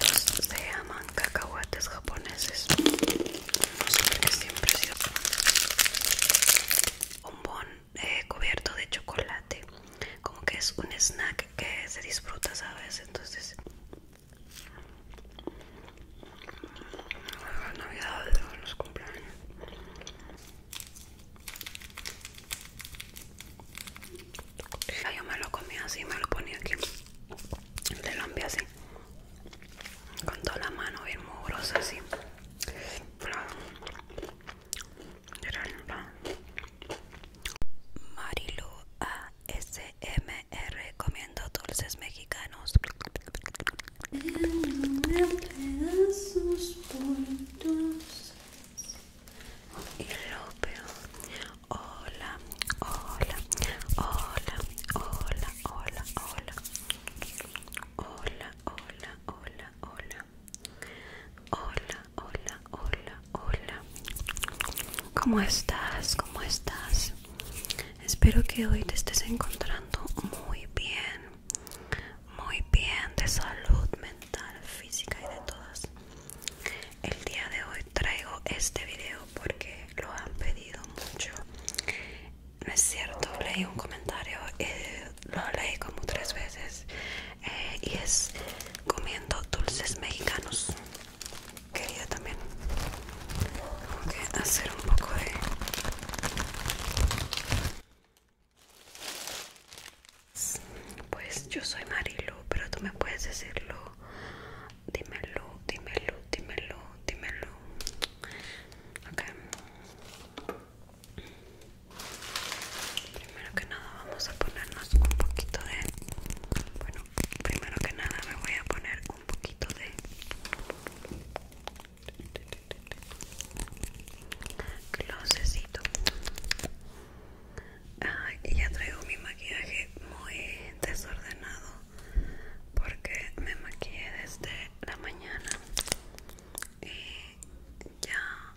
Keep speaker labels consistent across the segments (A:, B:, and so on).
A: Estos se llaman cacahuates japoneses no sé qué siempre ha sido bombón eh, cubierto de chocolate como que es un snack que se disfruta sabes entonces Navidad navidades los cumpleaños yo me lo comía así me lo ponía aquí le lombia así con toda la mano bien mugrosa así Marilu ASMR comiendo dulces mexicanos pedazos y lo peor Hola, hola, hola, hola, hola, hola. Hola, hola, hola, hola. Hola, hola, hola, ¿Cómo estás? ¿Cómo estás? Espero que hoy te estés encontrando muy bien. Muy bien de salud mental, física y de todas el día de hoy traigo este video porque lo han pedido mucho no es cierto leí un comentario eh, lo leí como tres veces eh, y es comiendo dulces mexicanos quería también hacer un poco de pues yo soy Marilo, pero tú me puedes decirlo dímelo, dímelo, dímelo, dímelo. Ok. Primero que nada vamos a ponernos un poquito de... Bueno, primero que nada me voy a poner un poquito de... Closecito y ya traigo mi maquillaje muy desordenado porque me maquillé desde la mañana y ya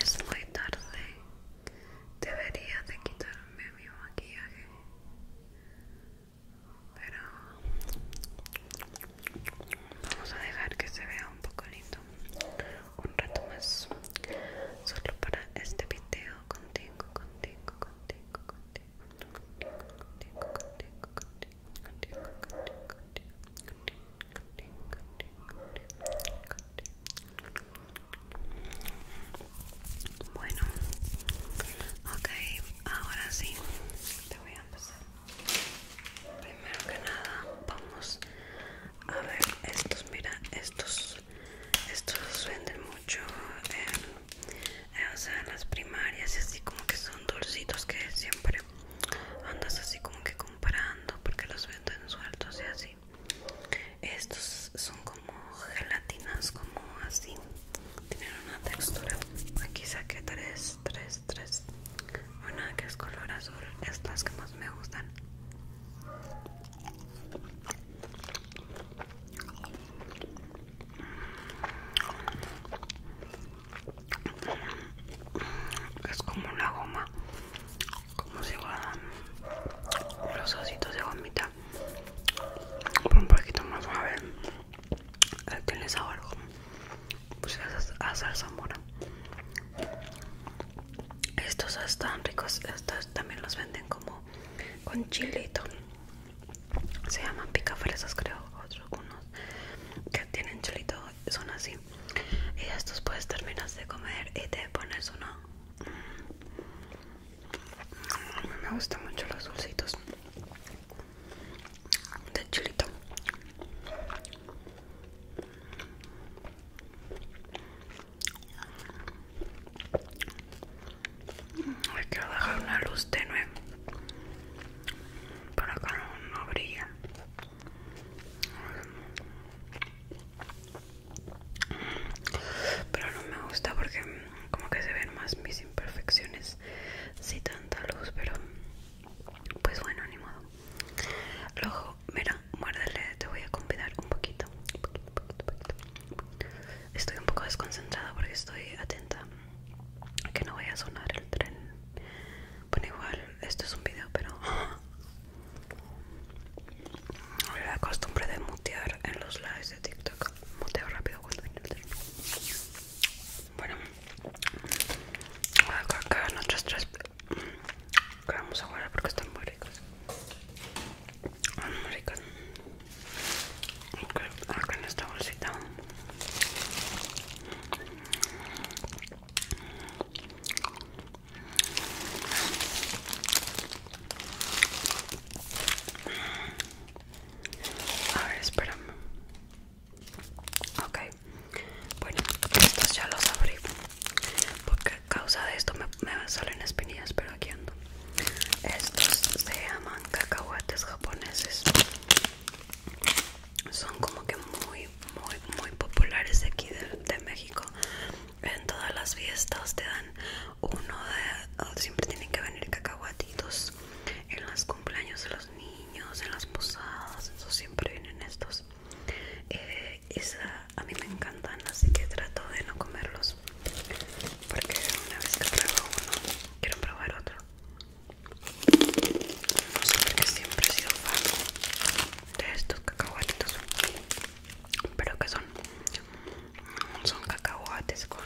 A: es muy tarde. Debería de quitarme mi maquillaje. Pero vamos a dejar que se vea un poco lindo un rato más solo para este video contigo, contigo, contigo, Bueno, ok, ahora sí, te voy a Primero que nada, vamos a ver estos, mira, estos estos venden mucho eh, en, las primarias y así como que son dulcitos que siempre andas así como que comparando porque los venden sueltos y así estos son como gelatinas como así tienen una textura aquí saqué tres tres tres Bueno, que es color azul estas que más me gustan es como una goma, como si guardan. los ositos de gomita, un poquito más suave. Tiene algo? pues es a salsa mora. Estos están ricos, estos también los venden como con chilito se llaman picafresas creo otros unos que tienen chilito son así y estos pues terminas de comer y te pones uno mm, me gustan mucho los dulcitos de chilito hay que dejar una luz tenue para que no, brilla. Pero no me gusta porque como que se ven más mis imperfecciones Si tanta luz, pero pues bueno, ni modo. Luego, mira, muérdele, te voy a convidar un poquito. Estoy un poco desconcentrada porque estoy atenta a que no vaya a sonar el tren. Bueno, igual, esto es un video, pero. La costumbre de mutear en los lives de TikTok. Muteo rápido cuando viene el tren. Bueno, voy a cargar nuestras tres. Que vamos a guardar porque están muy ricos ricas okay, acá en esta bolsita a ver, espérame. Ok, bueno, estos ya los abrí. Porque a causa de esto me me salen espinillas, pero aquí ando. Estos se llaman cacahuates japoneses. Son como que muy, muy, muy populares de aquí de, México. En todas las fiestas te dan uno de. Siempre tienen que venir cacahuatitos. En los cumpleaños de los niños, en las posadas, eso siempre vienen estos. y eh, a mí me encantan, así que trato de no comerlos porque una vez que pruebo uno quiero probar otro no sé por siempre he sido fan de estos cacahuatitos pero que son son cacahuates con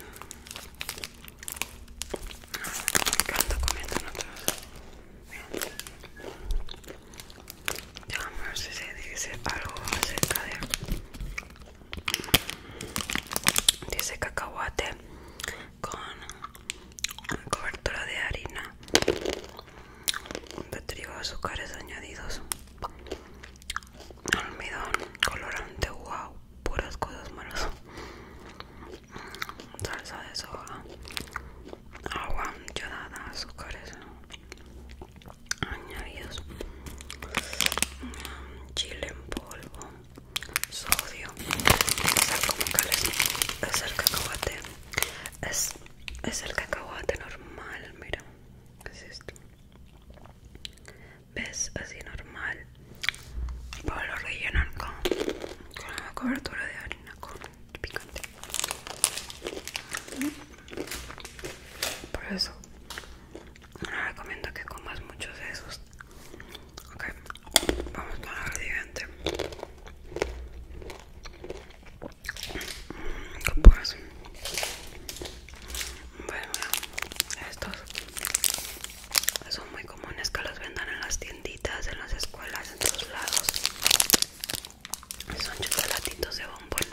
A: que ando comiendo otros ya no dice algo acerca de Dice cacahuate con cobertura de harina de trigo, azúcares añadidos, almidón, colorante, wow, puras cosas malas, salsa de soja, agua, yodada, azúcares, añadidos mm, chile en polvo sodio es el cacahuate es, el cacahuate normal mira ¿qué es esto ves así normal para lo rellenar con, con una cobertura de harina con picante por eso recomiendo que comas muchos de esos. Ok, vamos con la siguiente. Mm, pones? bueno, estos son muy comunes que los vendan en las tienditas, en las escuelas, en todos lados. Son chocolatitos de bombón.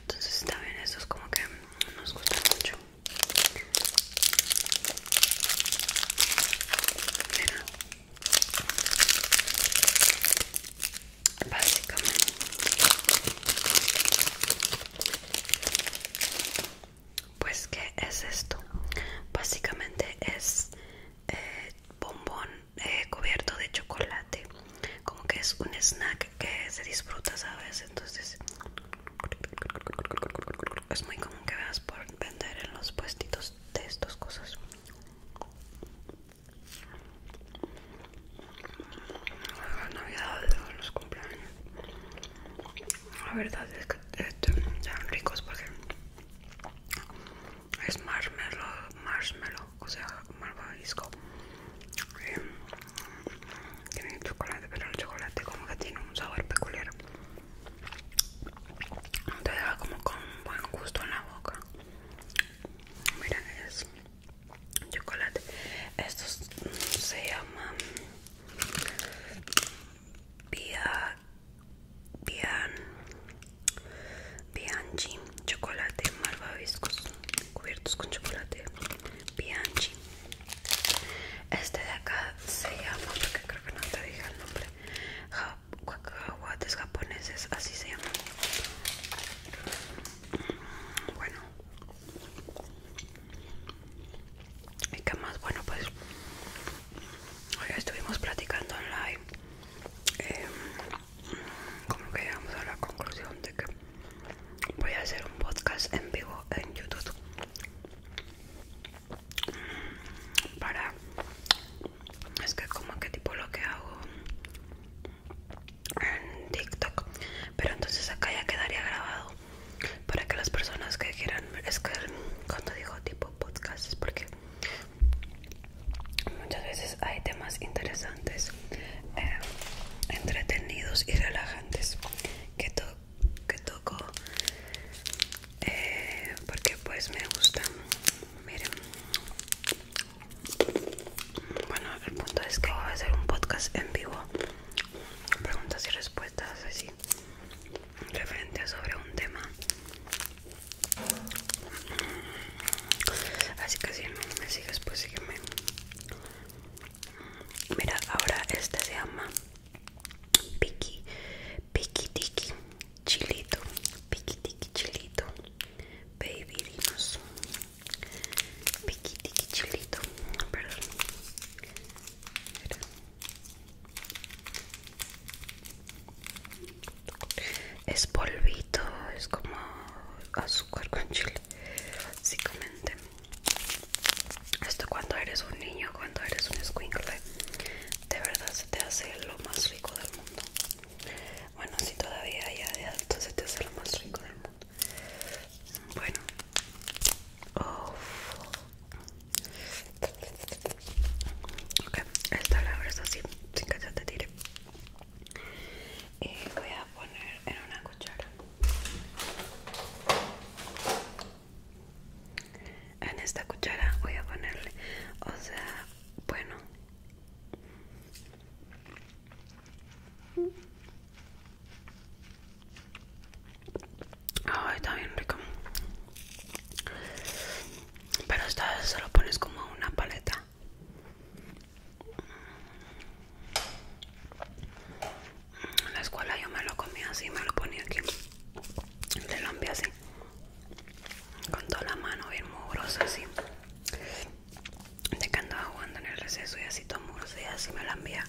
A: Entonces, también estos, como que nos gustan mucho. Básicamente. Pues, ¿qué es esto? Básicamente es eh, bombón eh, cubierto de chocolate. Como que es un snack que, se disfruta, ¿sabes? Entonces es muy común que veas por vender en los puestitos de estas cosas. La Navidad, los La verdad es que eh, están ricos porque es marshmallow, marshmallow, o sea, malvavisco. Em, tiene chocolate pero el chocolate como que tiene un sabor peculiar te deja como con buen gusto en la boca miren es chocolate estos se llaman Bia, Bian Bianchi chocolate malvaviscos cubiertos con chocolate Bianchi este de acá se llama, porque creo que no te dije el nombre, japoneses, así se llama. Mm, bueno. ¿Y que más? Bueno, pues hoy estuvimos platicando online. Em, como que llegamos a la conclusión de que voy a hacer un podcast en vivo en YouTube para es que como que tipo lo que hago en TikTok pero entonces acá ya quedaría grabado para que las personas que quieran es que cuando digo tipo podcast es porque muchas veces hay temas interesantes eh, entretenidos y relajantes que, que toco eh, porque pues me gusta miren bueno el punto es que voy a hacer un podcast en vivo preguntas y respuestas así referente a sobre un tema así que si me sigues pues sígueme Mira, ahora este se llama Piqui, Piqui Tiki Chilito, Piqui Tiki Chilito, Baby Dinos, Piqui Tiki Chilito, Es polvito, es como azúcar con chile, básicamente. Esto cuando eres un niño, cuando eres un squinkle, de verdad se te hace lo más rico del mundo. Bueno, si todavía ya de alto se te hace lo más rico del mundo. Bueno. Oh. Ok, esta la es así, sin que ya te tire. Eh, voy a poner en una cuchara. En esta cuchara voy a ponerle, o sea, bueno. Ay, está bien rico. Pero esta vez se pones como una paleta. En la escuela yo me lo comía así, me lo ponía aquí. Le lo así. Con toda la mano bien mugrosa así. De que andaba jugando en el receso y así todo mugroso y así me la envía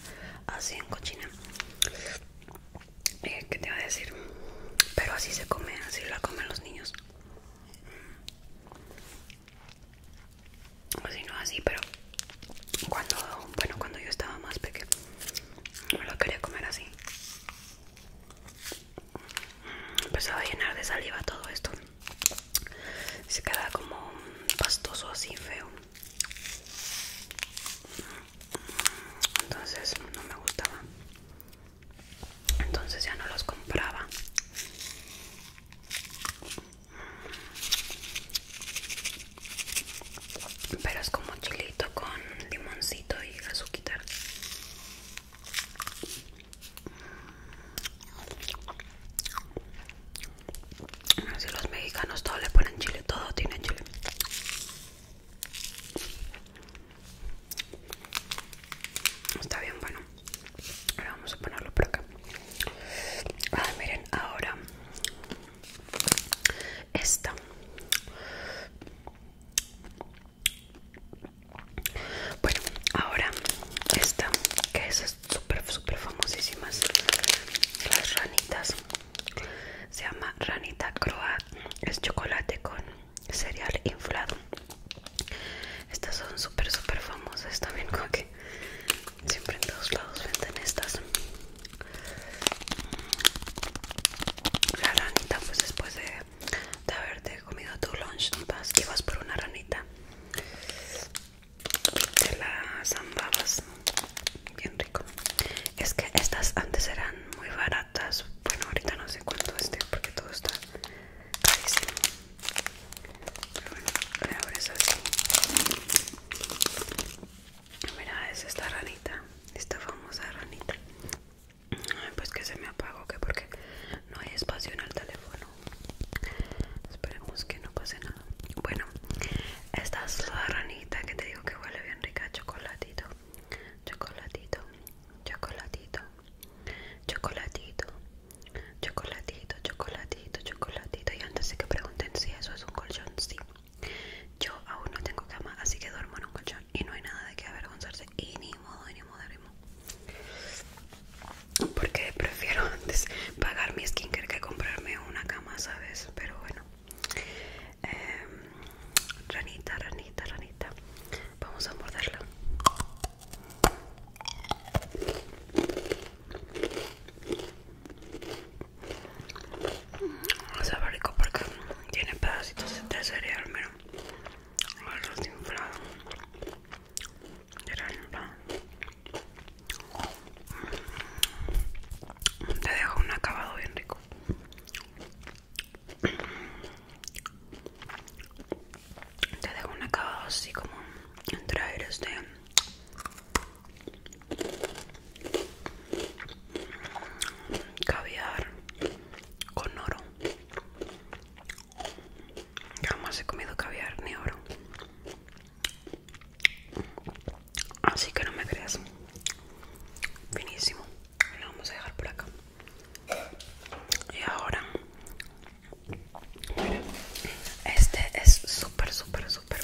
A: así en cochina. Eh, ¿Qué te voy a decir? Pero así se come, así la comen los niños o pues si no así pero cuando bueno cuando yo estaba más pequeño, no lo quería comer así empezaba a llenar de saliva todo esto se quedaba como pastoso así feo entonces no me gustaba entonces ya no los compraba pero es como chilito con limoncito y azúcar. Si los mexicanos todo le ponen chile, todo tiene chile. Está bien, bueno. Ahora vamos a ponerlo por acá. Ah, miren, ahora esta bueno ahora esta que es súper súper famosísimas las ranitas se llama ranita croat es chocolate con cereal inflado estas son súper súper famosas también como Siempre en todos lados venden estas. Mm. La ranita, pues después de, haberte comido tu lunch, vas y vas por una ranita. De la zambabas. Bien rico. Es que estas antes eran muy baratas. Bueno, ahorita no sé cuánto este porque todo está carísimo. Pero bueno, le abres así. Mira, es esta ranita, esta famosa ranita. Ay, pues que se me apagó, que porque no hay espacio en el teléfono. Esperemos que no pase nada. Bueno, esta es la ranita que te digo que huele bien rica, chocolatito, chocolatito, chocolatito, chocolatito, chocolatito, chocolatito, chocolatito. Y antes de que pregunten si eso es un colchón, sí. Yo aún no tengo cama, así que duermo en un colchón y no hay nada de qué avergonzarse. Y ni modo, ni modo, ni modo. Porque prefiero antes pagar mi skincare que comprarme una cama, ¿sabes? Pero bueno. Em, ranita, ranita, ranita. Vamos a morderla va rico porque tiene pedacitos de cereal, mira. Los inflado. Te dejo un acabado bien rico. Te dejo un acabado así como entre aires de Caviar con oro. Jamás he comido caviar ni oro. Así que no me creas. Finísimo. Lo vamos a dejar por acá. Y ahora, este es súper, súper, súper.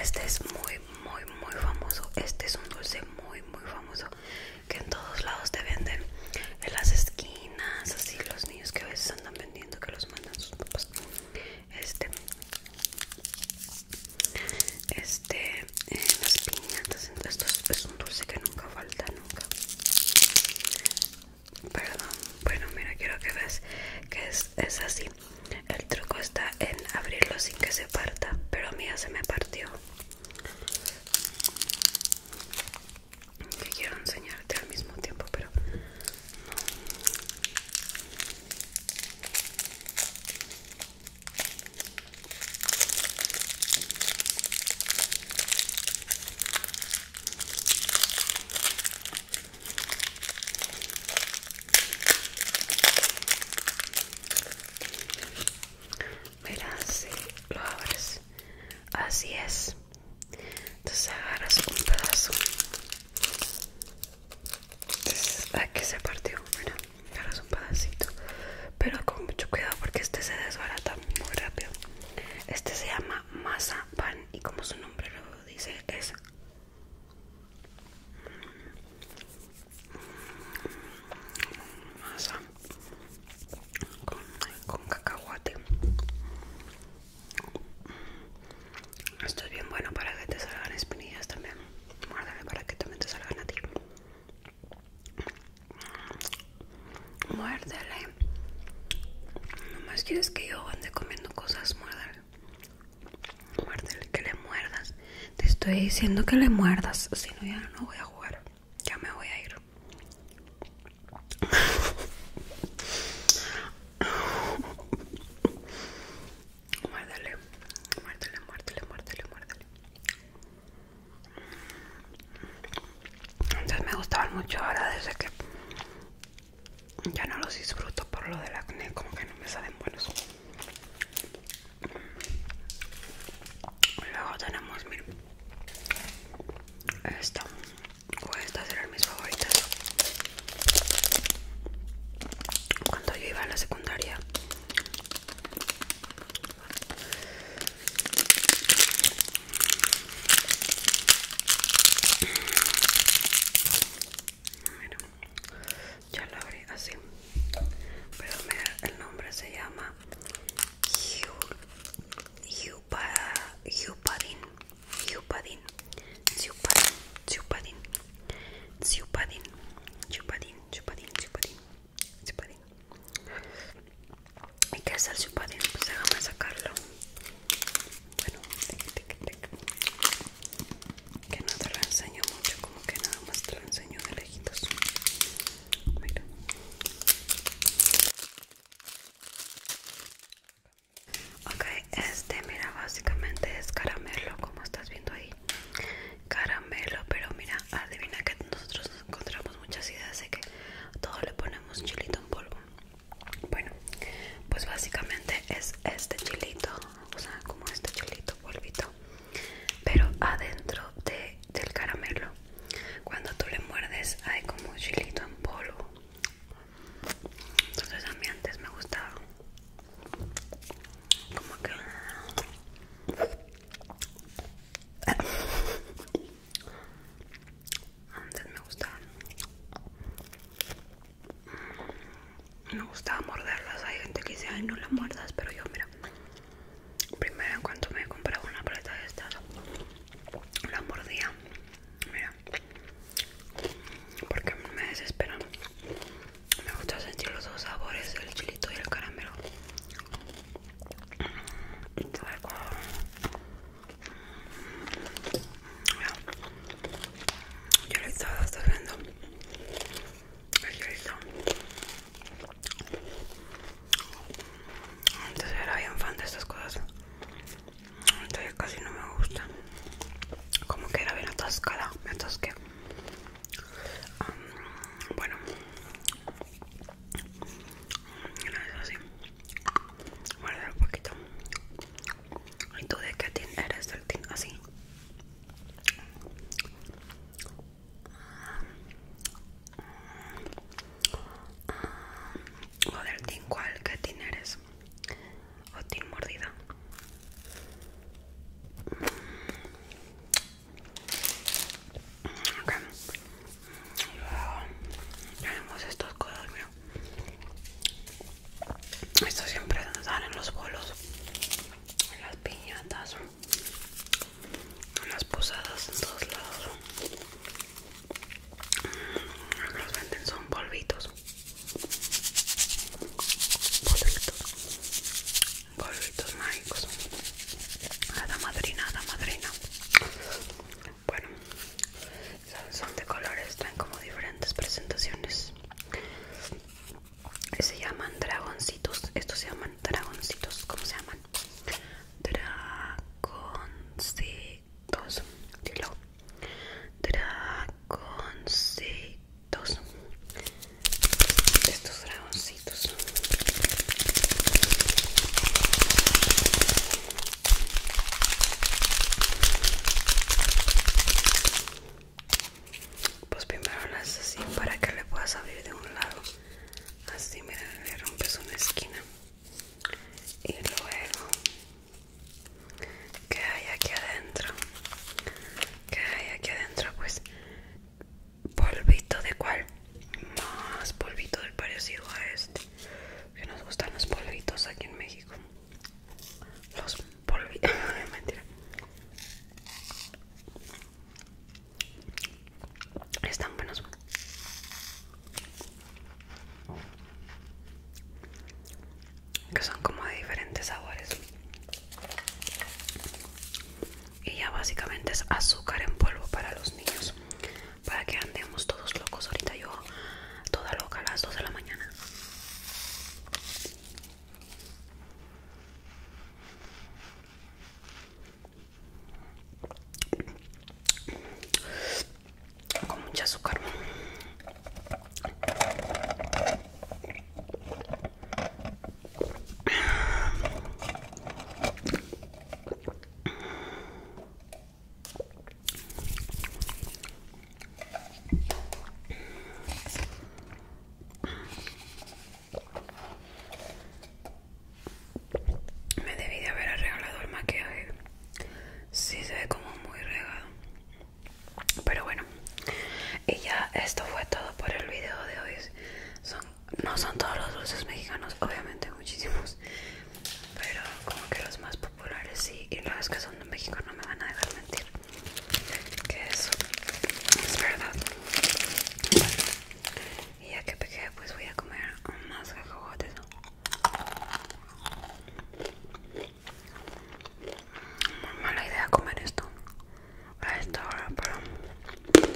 A: Este es muy muy muy famoso este es un dulce muy muy famoso que en todos lados te venden en las esquinas así los niños que a veces andan vendiendo que los mandan sus papás este este las piñatas esto es, es un dulce que nunca falta nunca perdón bueno mira quiero que veas que es, es así el truco está en abrirlo sin que se parta, pero a se me partió. Que quiero enseñarte al mismo tiempo, pero Mira, si lo abres. Así es. Entonces agarras un pedazo. Entonces, aquí se partió. Mira, agarras un pedacito. Pero con mucho cuidado porque este se desbarata muy rápido. Este se llama masa pan y como su nombre lo dice es masa con, cacahuate esto es bien bueno para que te salgan espinillas también muérdele para que también te salgan a ti muérdele nomás más quieres que yo ande comiendo cosas muérdele Muérdele, que le muerdas. Te estoy diciendo que le muerdas. Si no, ya no voy a jugar. Ya me voy a ir. muérdele, muérdele, muérdele, muérdele, muérdele. Antes me gustaban mucho, ahora desde que ya no los disfruto por lo del acné, como que no me salen buenos. Luego tenemos, miren, esto pues estas eran mis favoritas. Cuando yo iba a la secundaria, ya lo abrí así. Pero mira, el nombre se llama Yupadin. Yupadin. Yupadin. Yupadin. Yupadin. Yupadin. Yupadin. Yupadin. Yupadin. ¿Y qué es el chupadín? Pues déjame sacarlo. Bueno, tic, tic, tic que no te lo enseño mucho como que nada más te lo enseño de lejitos mira ok este mira básicamente es caramelo como estás viendo ahí caramelo pero mira adivina que nosotros nos encontramos muchas ideas de que todo le ponemos chilito en polvo bueno pues básicamente es este chilito o como este chilito polvito pero adentro de, del caramelo cuando tú le muerdes hay como un chilito en polvo entonces a mí antes me gustaba como que antes me gustaba me gustaba morderlas. Hay gente que dice, ay, no las muerdas, pero yo, mira, primero en cuanto me comprado una paleta de estas, la mordía, mira, porque me desesperan. Me gusta sentir los dos sabores, el chilito y el caramelo. Luego, mira, yo le estaba viendo es antes era bien fan de estas cosas Todavía casi no me gusta como que era bien atascada me atasqué um, bueno no es así guardar un poquito y tú de qué tin eres del tin así Joder, Tin, ¿cuál? ¿Qué Tin eres? ¿O tin mordida? Ok. Tenemos estos codos, Esto siempre nos en los bolos las piñatas, las posadas en todos lados. Mm, los venden son polvitos. Polvitos. Polvitos mágicos. la madrina, la madrina. Bueno, son de colores, traen como diferentes presentaciones se llaman dragoncitos estos se llaman dragoncitos ¿cómo se llaman? dragoncitos dilo dragoncitos estos dragoncitos pues primero la haces así para que le puedas abrir de un lado así mira le rompes una esquina y luego ¿qué hay aquí adentro ¿Qué hay aquí adentro pues polvito de cuál más polvito del parecido a este que nos gustan los polvitos aquí en México los mentira. Están buenos. Que son como de diferentes sabores. Y ya básicamente es azúcar en polvo para los niños. Para que andemos todos locos. Ahorita yo toda loca a las 2 de la mañana con mucha azúcar me debí de haber arreglado el maquillaje. Sí, se ve como muy regado. Pero bueno, y ya esto fue todo por el video de hoy. Son, no son todos los dulces mexicanos, obviamente muchísimos. Pero como que los más populares sí. Y los que son de México no me van a dejar mentir que eso es verdad y ya que pegué pues voy a comer más cacahuates muy mala idea comer esto a esta hora pero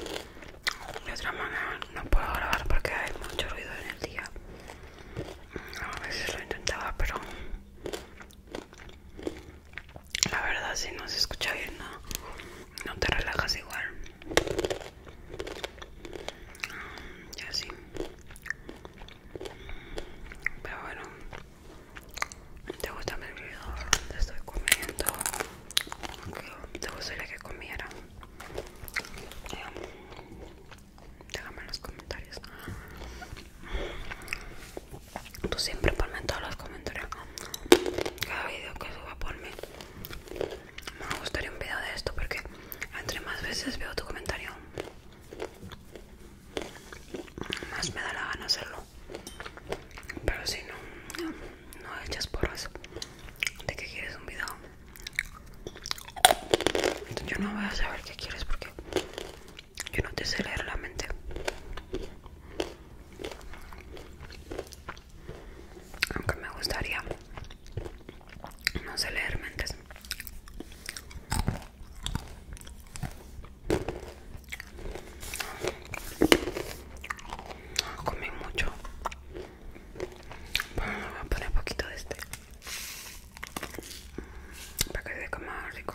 A: de otra manera no puedo grabar porque hay mucho ruido en el día a ver si lo intentaba pero la verdad, si no se escucha bien, no, no te relajas igual. Mm, ya sí, Pero bueno, ¿te gusta mi video? Te estoy comiendo. ¿Te gustaría que comiera? Déjame en los comentarios. Tú siempre ponme todos los comentarios cada video que suba mí Me gustaría un video de esto porque entre más veces veo tu comentario, más me da la gana hacerlo. Pero si no, no echas porras de que quieres un video. Yo no voy a saber qué quieres porque yo no te sé leer la mente. Aunque me gustaría, no sé leer mentes. No, ah, comí mucho. Bueno, voy a poner poquito de este para que se coma rico.